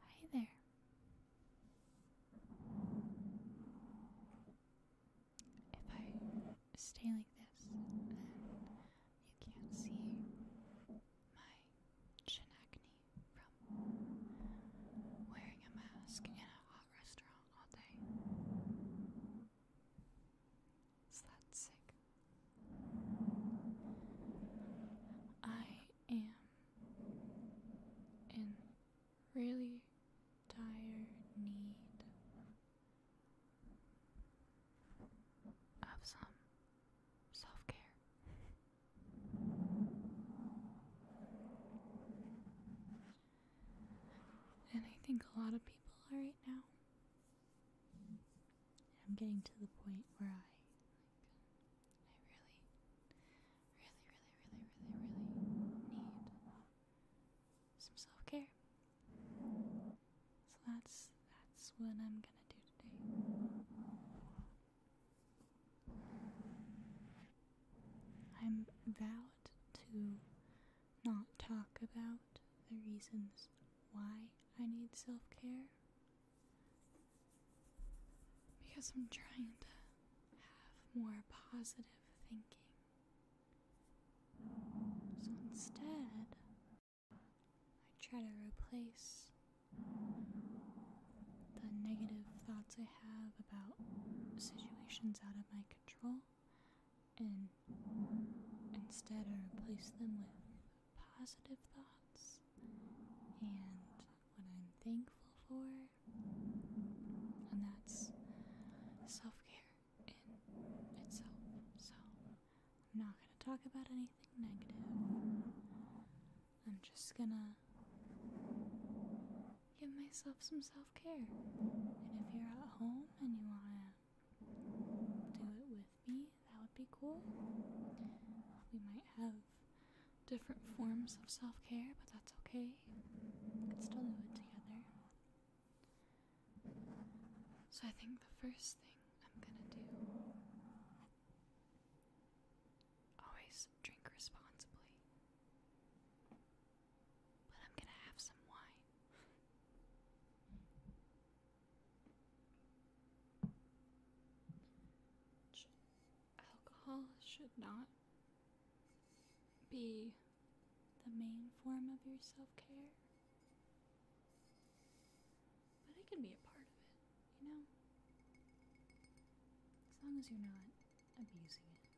Hi there. If I stay like this and you can't see my chin acne from wearing a mask in a hot restaurant all day. Is that sick? I am in really dire need of some self care. And I think a lot of people are right now. I'm getting to the point where I I really, really, really, really, really, really need some self care. So that's that's what I'm gonna do today. I'm vowed to not talk about the reasons why I need self care because I'm trying to have more positive thinking. So instead, I try to replace the negative thoughts I have about situations out of my control and instead I replace them with positive thoughts and what I'm thankful for. And that's self care in itself. So I'm not going to talk about anything negative. I'm just going to give myself some self care. And if you're at home and you want to do it with me, that would be cool. We might have different forms of self care, but that's okay. We can still do it together. So, I think the first thing I'm gonna do always drink responsibly, but I'm gonna have some wine alcohol should not be the main form of your self care, but it can be a part of it, you know? As long as you're not abusing it.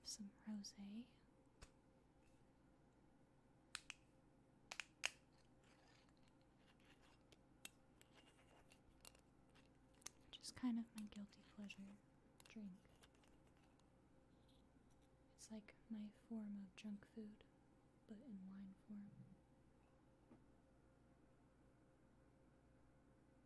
Have some rosé. Which is kind of my guilty pleasure drink. It's like my form of junk food, but in wine form.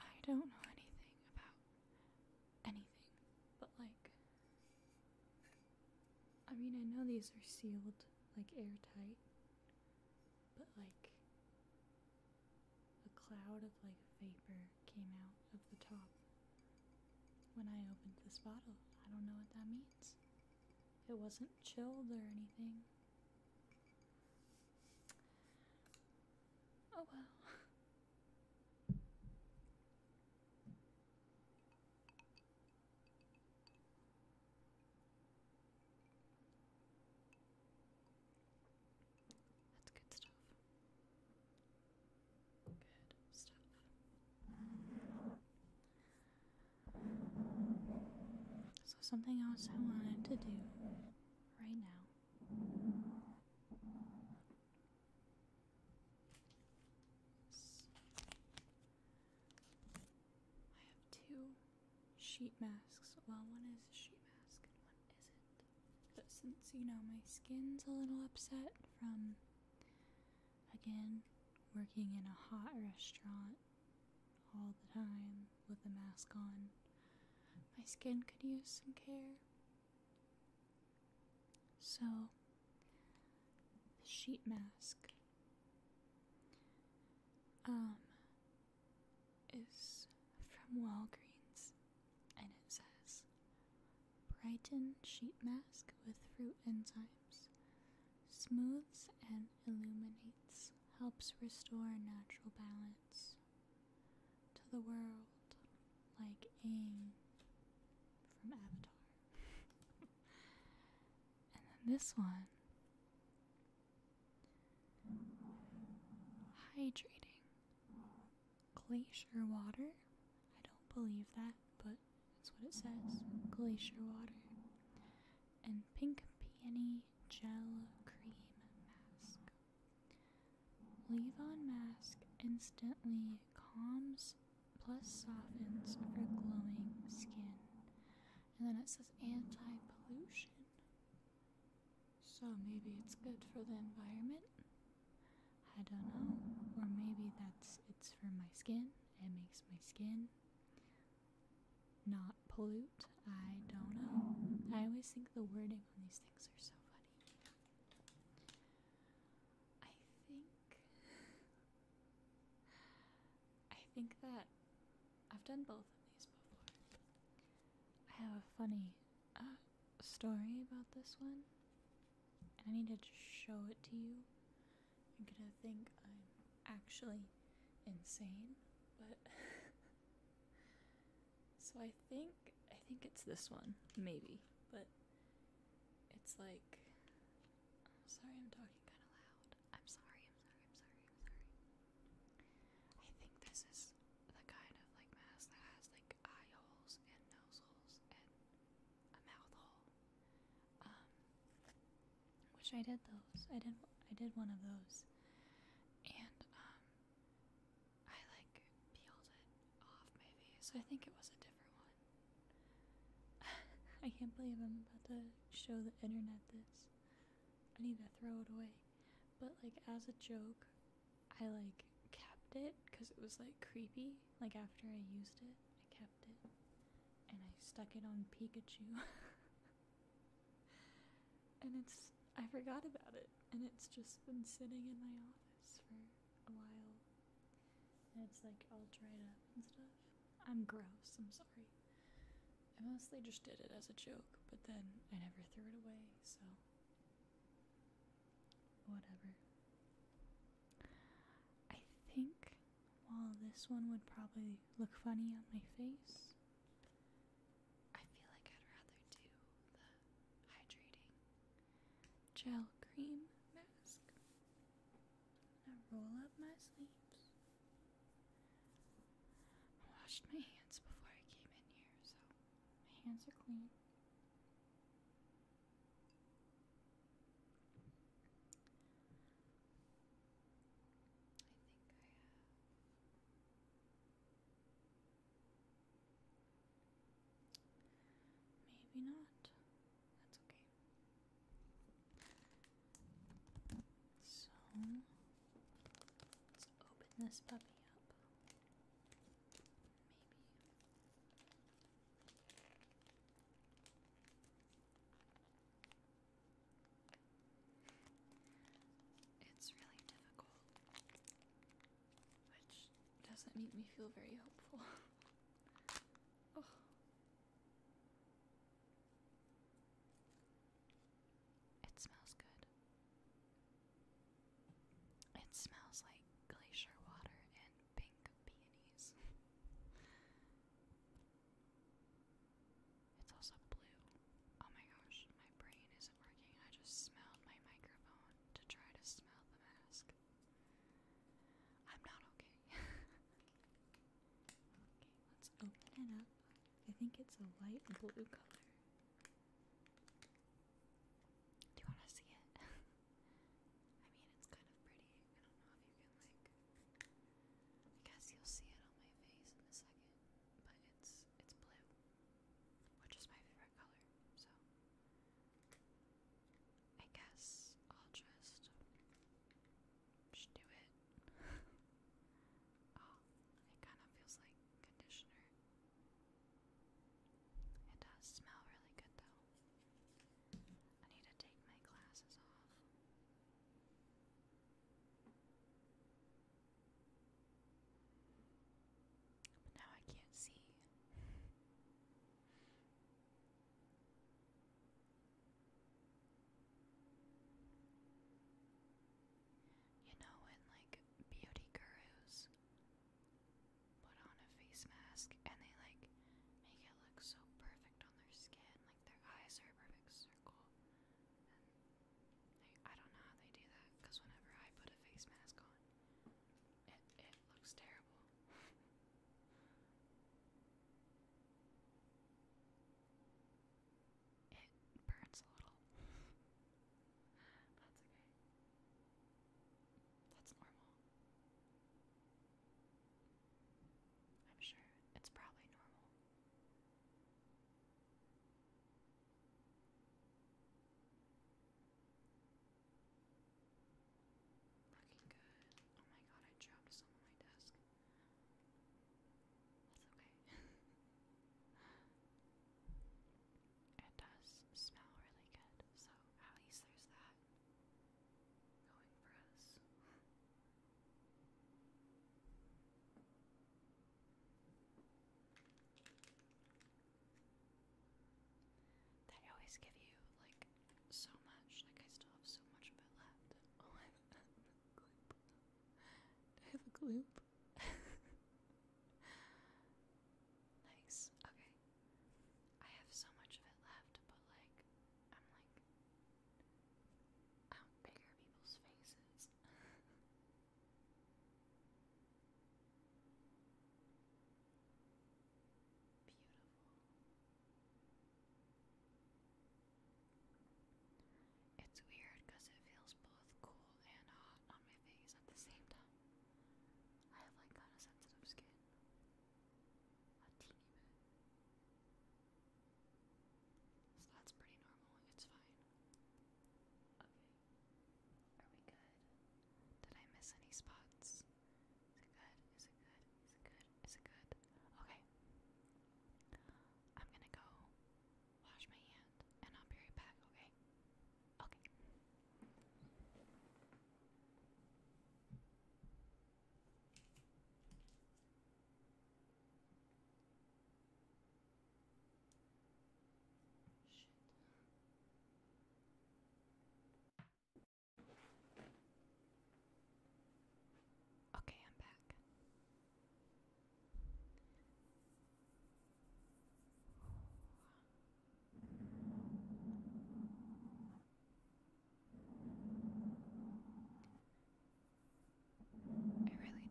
I don't know anything about anything, but like, I mean, I know these are sealed, like airtight, but like, a cloud of like vapor came out of the top when I opened this bottle. I don't know what that means. It wasn't chilled or anything. Oh well. That's good stuff. Good stuff. So, something else I wanted to do right now I have two sheet masks. Well, one is a sheet mask and one isn't. But since, you know, my skin's a little upset from, again, working in a hot restaurant all the time, with the mask on. My skin could use some care. So, the sheet mask um is from Walgreens and it says Brighten sheet mask with fruit enzymes. Smooths and illuminates, helps restore natural balance to the world like Aang from Avatar. and then this one hydrating glacier water. I don't believe that, but that's what it says glacier water. And pink peony gel cream mask. Leave on mask instantly calms plus softens for glowing skin. And then it says anti pollution. So maybe it's good for the environment. I don't know. Or maybe that's it's for my skin. It makes my skin not pollute. I don't know. I always think the wording on these things are so funny. I think I think that I've done both of these before. I have a funny uh, story about this one, and I need to just show it to you. You're gonna think I'm actually insane, but So I think I think it's this one, maybe, but it's like I'm sorry I'm talking kind of loud. I'm sorry, I'm sorry, I'm sorry, I'm sorry. I think this is the kind of like mask that has like eye holes and nose holes and a mouth hole. Um wish I did those. I did I did one of those. And um I like peeled it off my face. I think it was a different one. I can't believe I'm about to show the internet this. I need to throw it away. But like as a joke, I like kept it because it was like creepy. Like after I used it, I kept it. And I stuck it on Pikachu. and it's I forgot about it, and it's just been sitting in my office for a while. And it's like all dried up and stuff. I'm gross, I'm sorry. I mostly just did it as a joke, but then I never threw it away, so. Whatever. I think while this one would probably look funny on my face, I feel like I'd rather do the hydrating gel cream mask. I roll up my sleeves. I washed my hands before I came in here, so my hands are clean. I think I have Maybe not. That's okay. So let's open this puppy up. Maybe. It's really difficult which doesn't make me feel very hopeful. oh. It smells good. It smells like glacier water and pink peonies. it's also blue. Oh my gosh, my brain isn't working. I just smelled my microphone to try to smell the mask. I'm not okay. okay, let's open it up. I think it's a light blue color. Do you want to see it? I mean, it's kind of pretty. I don't know if you can, like. I guess you'll see it on my face in a second, but it's it's blue, which is my favorite so I guess I'll just, do it. Oh, it kind of feels like conditioner. It does smell really good though. I need to take my glasses off. But now I can't see. You know when like beauty gurus put on a face mask and they like make it look so perfect on their skin, like their eyes are perfect circle. I don't know how they do that because whenever I put a face mask on, it, looks terrible. it burns a little. That's okay. That's normal. I'm sure it's probably normal. Looking good. Oh my god, I dropped some on my desk. That's okay. it does smell really good, so at least there's that going for us. They always give you like so much. Like I still have so much of it left. Oh, I have, a gloop. nice. Okay. I have so much of it left, but like, I'm like, I do people's faces. Beautiful. It's weird because it feels both cool and hot on my face at the same time. I have like kind of sensitive skin. A teeny bit. So that's pretty normal. It's fine. Okay. Are we good? Did I miss any spots? Is it good? Is it good? Is it good? Is it good? Okay. I'm gonna go wash my hand and I'll be right back, okay? Okay. Okay, I'm back. I really did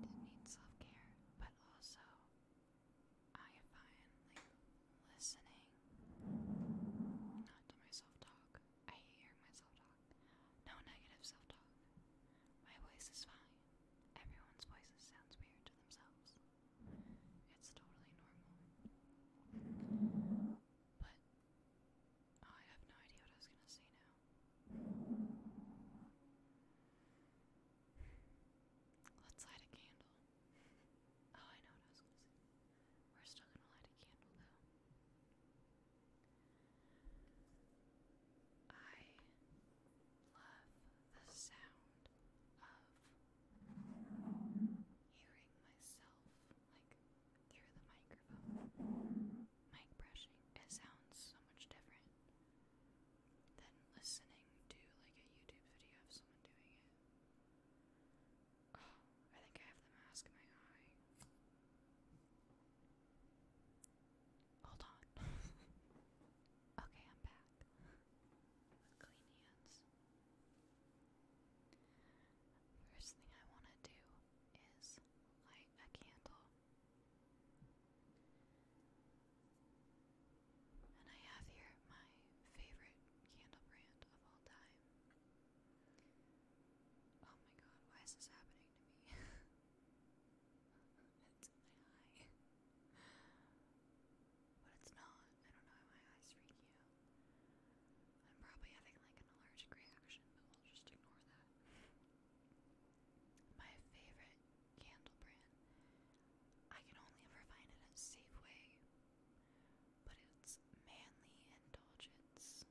need self care, but also I find like listening not to myself talk. I hate myself talk. No negative self talk. My voice is fine. Everyone's voices sounds weird to themselves. It's totally normal. But I have no idea what I was gonna say now. Let's light a candle. Oh, I know what I was gonna say. We're still gonna light a candle though. I love the sound of hearing myself like through the microphone. Mic brushing. It sounds so much different than listening to like a YouTube video of someone doing it. I think I have the mask in my eye. Hold on. okay, I'm back. Clean hands. First thing I want to do is light a candle. And I have here my favorite candle brand of all time. Oh my god, why is this happening to me? it's my eye. But it's not. I don't know why my eyes freak you. I'm probably having like an allergic reaction, but we'll just ignore that. My favorite candle brand. I can only ever find it at Safeway but it's manly indulgence.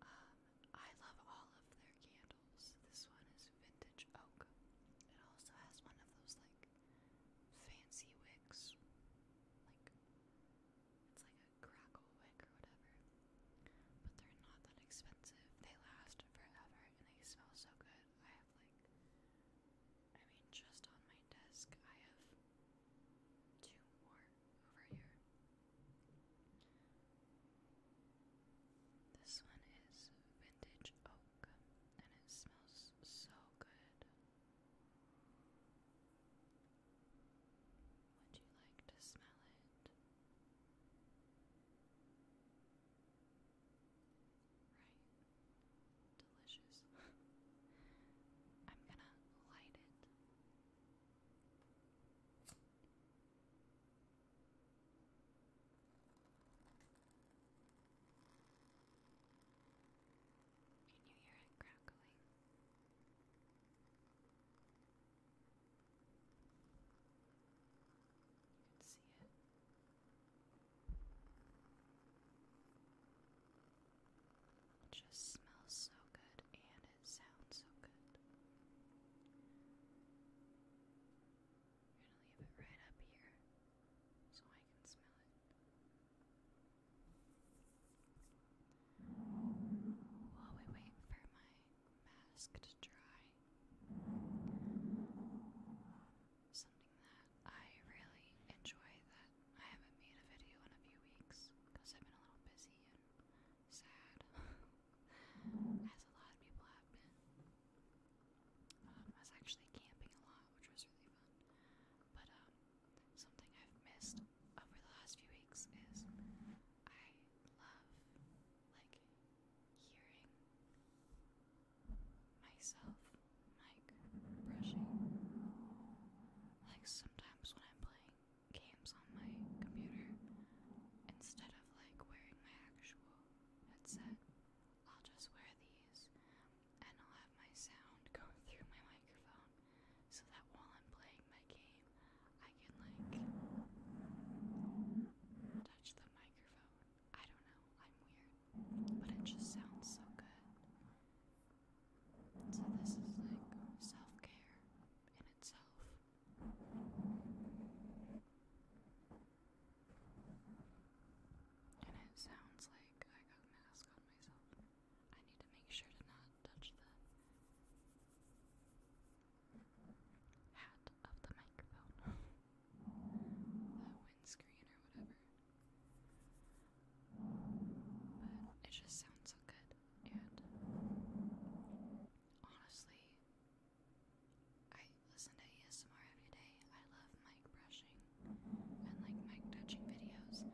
Um, I love all of their candles. This one is vintage oak. It also has one of those like fancy wicks. Like it's like a crackle wick or whatever. But they're not that expensive. They last forever and they smell so good. I have like, I mean, just on my desk, I have two more over here. This one is vintage oak, and it smells so good. Would you like to smell it? Right delicious. I'm gonna light it. Can you hear it crackling? You can see it. It just smells so good and it sounds so good. gonna leave it right up here so I can smell it. While we wait for my mask to dry, something that I really enjoy that I haven't made a video in a few weeks because I've been a little busy and sad, as a lot of people have been. Um, I was actually camping a lot, which was really fun. But um, something I've missed over the last few weeks is I love like hearing myself like brushing. Like sometimes when I'm playing games on my computer, instead of like wearing my actual headset, I'll just wear these and I'll have my sound go through my microphone so that while I'm playing my game, I can like touch the microphone. I don't know, I'm weird but it just sounds so good. So, this is like self care in itself. And it sounds like I got mask on myself. I need to make sure to not touch the hat of the microphone, the windscreen, or whatever. But it just sounds so good. And honestly, I listen to ASMR every day. I love mic brushing and like mic touching videos,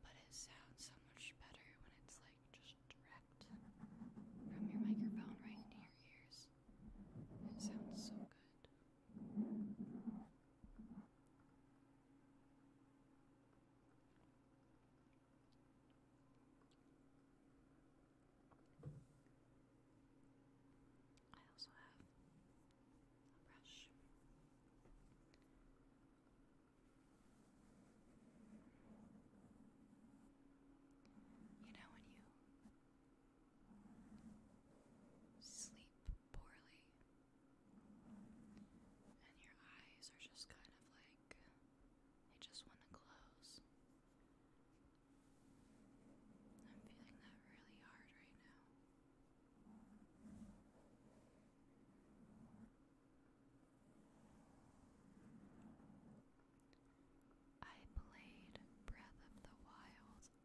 but it sounds so much better when it's like just direct from your microphone right into your ears. It sounds so good. I also have a brush. You know, when you sleep poorly, and your eyes are just kind of like they just want to close. I'm feeling that really hard right now. I played Breath of the Wild until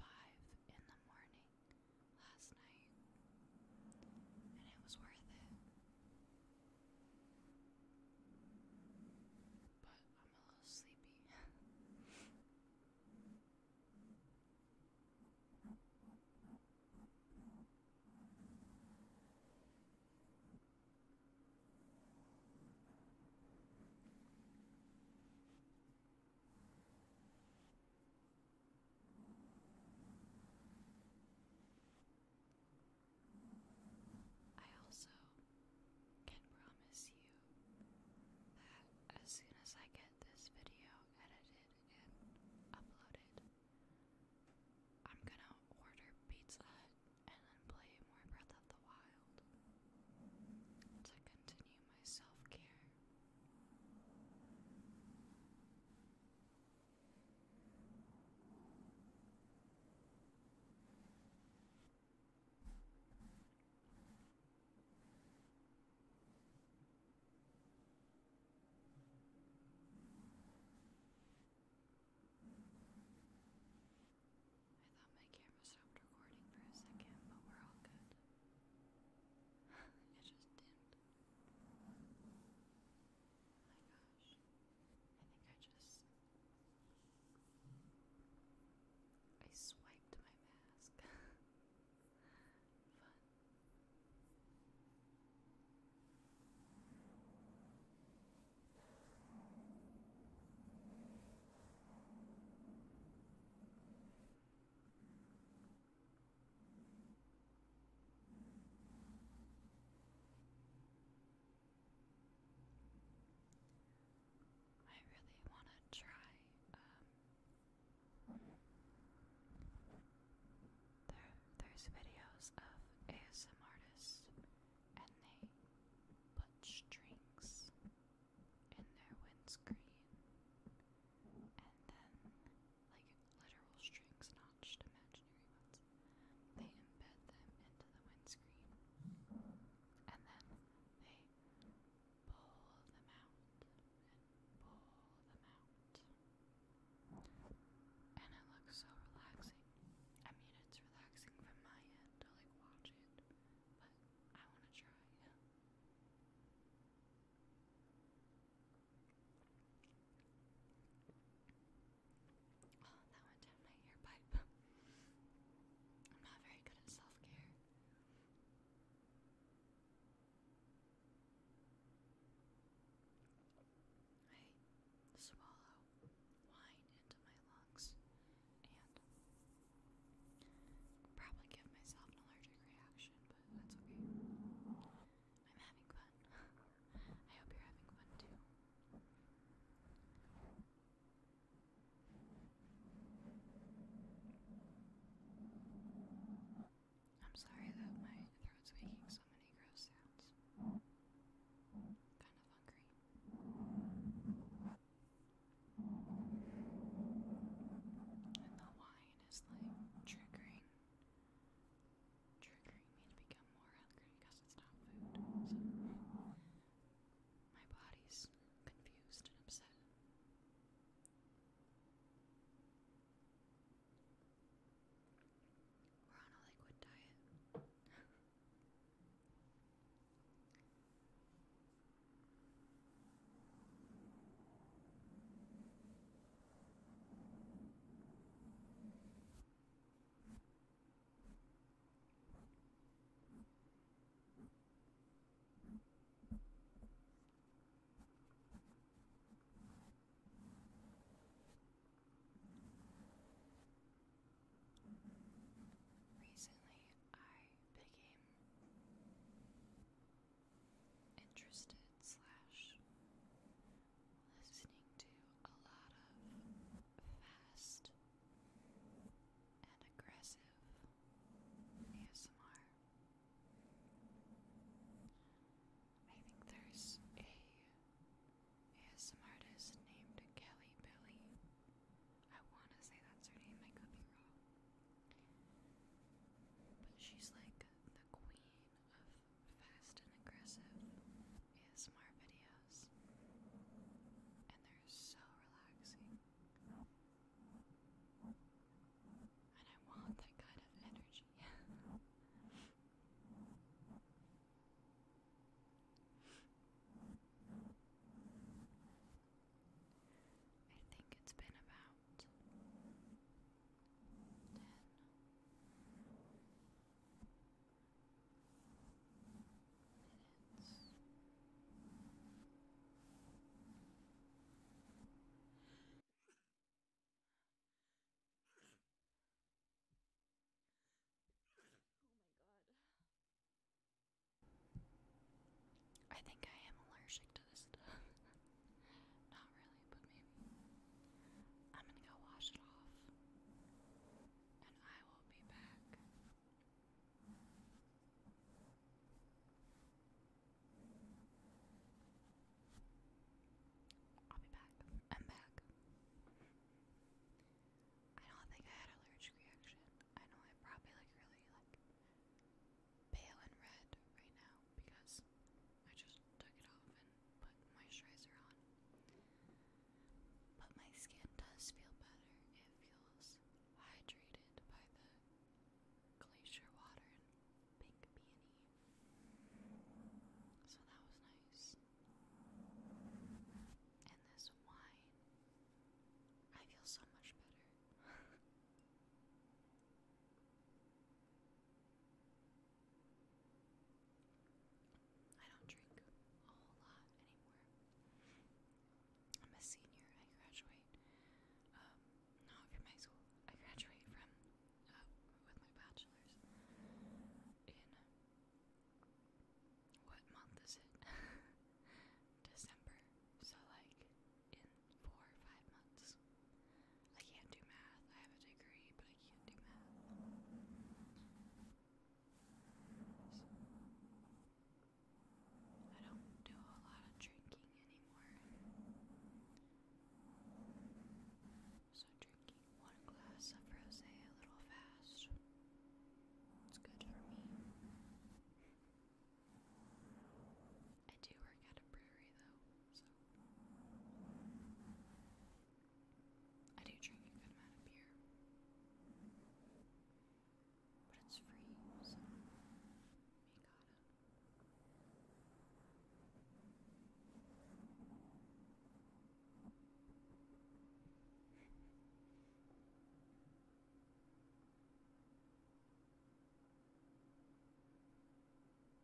5 in the morning last night, and it was worth it. But I'm a little sleepy. I also can promise you that as soon as I get this video edited and uploaded, I'm gonna order Pizza and then play more Breath of the Wild to continue my self care I thought my camera stopped recording for a second, but we're all good. it just did my gosh. I think I just I swiped my mask. Fun. I really want to try um, there there's videos of ASM artists and they put strings in their windscreen and then like literal strings, not just imaginary ones. They embed them into the windscreen and then they pull them out and pull them out. And it looks so relaxing. I mean, it's relaxing from my end to like watch it, but I want to try it that went down my ear I'm not very good at self care. I swallow wine into my lungs and probably give myself an allergic reaction that's okay. I'm having fun. I hope you're having fun too. I'm sorry that my throat's making so many gross sounds. Kind of hungry. And the wine is like triggering triggering me to become more hungry because it's not food. So my body's confused and upset. We're on a liquid diet. Recently, I became interested slash listening to a lot of fast and aggressive ASMR. I think there's a ASMR artist named Kelly Billy. I want to say that's her name, I could be wrong. But she's like the queen of fast and aggressive smart videos, and they're so relaxing. And I want that kind of energy. I think it's been about ten. Minutes. Oh my god. I think I am allergic Not really, but maybe. I'm gonna go wash it off. And I will be back. I'll be back. I'm back. I don't think I had an allergic reaction. I know I probably like really like pale and red right now because I just took it off and put moisturizer on. But my skin does feel better. It feels hydrated by the glacier water and pink peony. So that was nice. And this wine. I feel so much better. I don't drink a whole lot anymore. I'm a senior. I graduate. Um, not from high school. I graduate from uh, with my bachelor's. In uh, what month is it? December. So like in four or five months. I can't do math. I have a degree, but I can't do math. I don't do a lot of drinking anymore. So drinking one glass of rosé a little fast. It's good for me. I do work at a brewery though, so I do drink a good amount of beer. But it's free, so you gotta.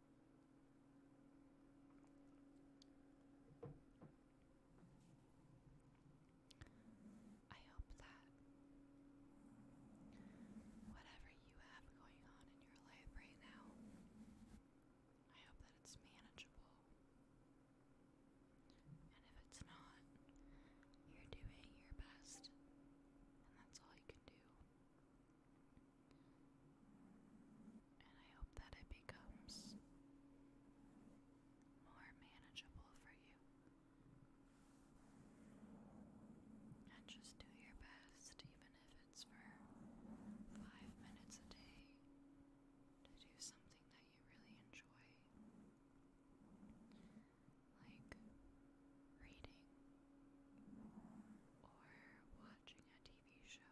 I hope that whatever you have going on in your life right now, I hope that it's manageable. And if it's not, you're doing your best, and that's all you can do. And I hope that it becomes more manageable for you. And just do your best, even if it's for five minutes a day, to do something that you really enjoy. Like reading or watching a TV TV show,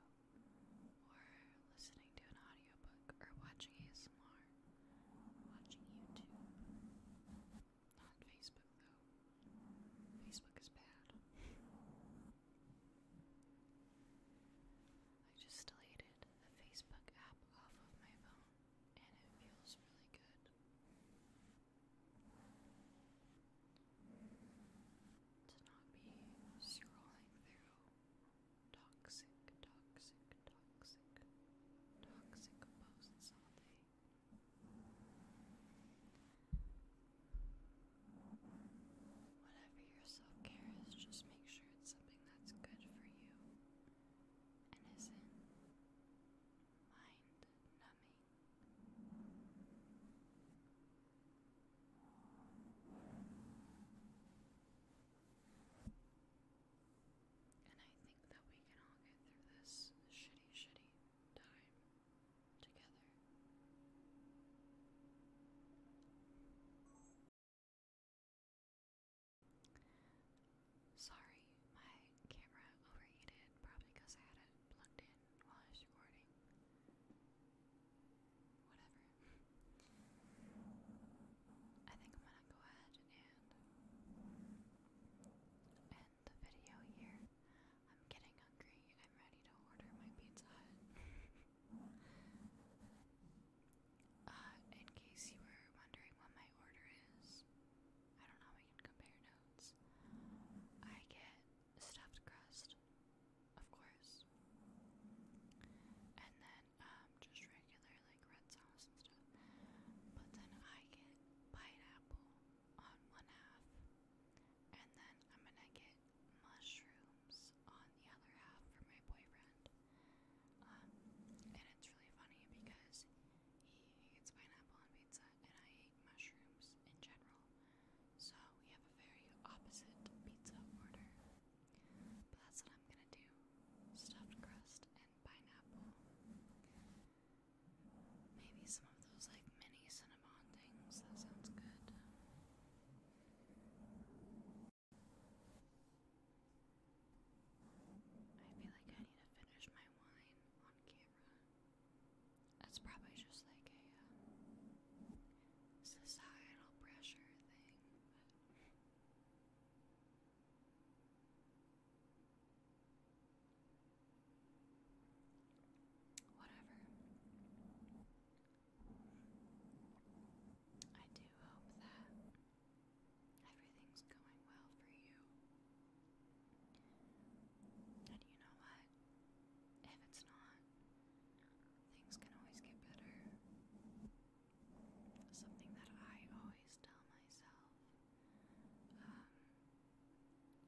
or listening to an audiobook, or watching ASMR, watching YouTube. Not Facebook, though. Facebook is bad. I just deleted the Facebook app off of my phone, and it feels really good to not be scrolling through toxic, toxic, toxic, toxic posts all day. Whatever your self care is, just make sure it's something that's good for you and isn't mind numbing. And I think that we can all get through this shitty, shitty time together. Sorry, my camera overheated probably because I had it plugged in while I was recording. Whatever. I think I'm gonna go ahead and end the video here. I'm getting hungry. I'm ready to order my Pizza uh, in case you were wondering what my order is, I don't know how we can compare notes. I get stuffed crust of course. And then um, just regular like red sauce and stuff. But then I get pineapple on one half, and then I'm gonna get mushrooms on the other half for my boyfriend. Um, and it's really funny because he hates pineapple on pizza, and I hate mushrooms in general. So we have a very opposite pizza order. But that's what I'm gonna do stuffed crust and pineapple. Maybe some of those like mini cinnamon things. That sounds good. I feel like I need to finish my wine on camera. That's probably just like a uh, societal pressure thing. whatever. I do hope that everything's going well for you. And you know what? If it's not, Things can always get better. Something that I always tell myself. Um,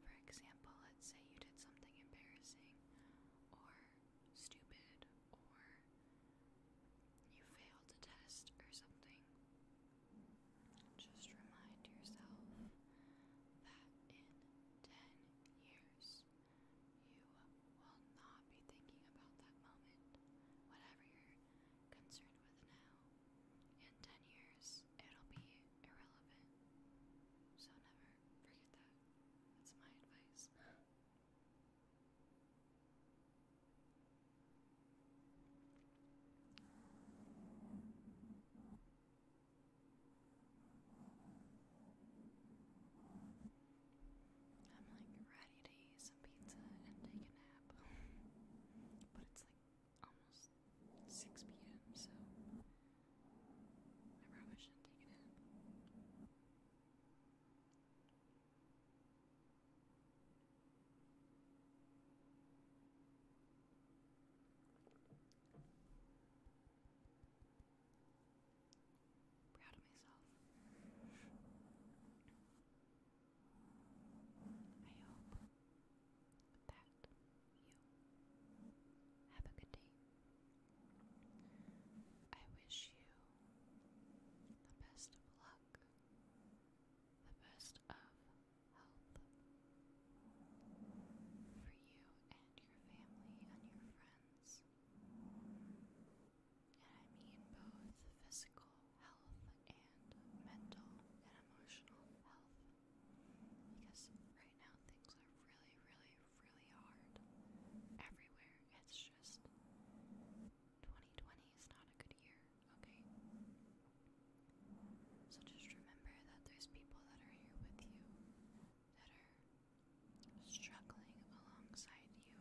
for example, let's say you did something embarrassing or stupid or you failed a test or something. Just remind yourself that in 10 years you will not be thinking about that moment, whatever you're concerned with now. In 10 years, it'll be irrelevant. So never forget that. That's my advice. I'm like ready to eat some pizza and take a nap. but it's like almost 6 p.m., so I probably shouldn't take a nap. Proud of myself. I hope that you have a good day. I wish you the best of luck, the best of health for you and your family and your friends. And I mean both physical health and uh, mental and emotional health. Because right now things are really, really, really hard everywhere. It's just 2020 is not a good year, okay? So just remember that there's people that are here with you that struggling alongside you,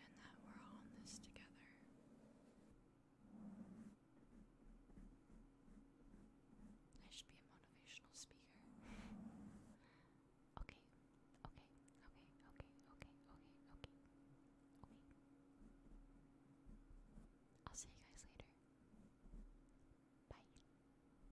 and that we're all this together. I should be a motivational speaker. okay, okay, okay, okay, okay, okay, okay. I'll see you guys later. Bye.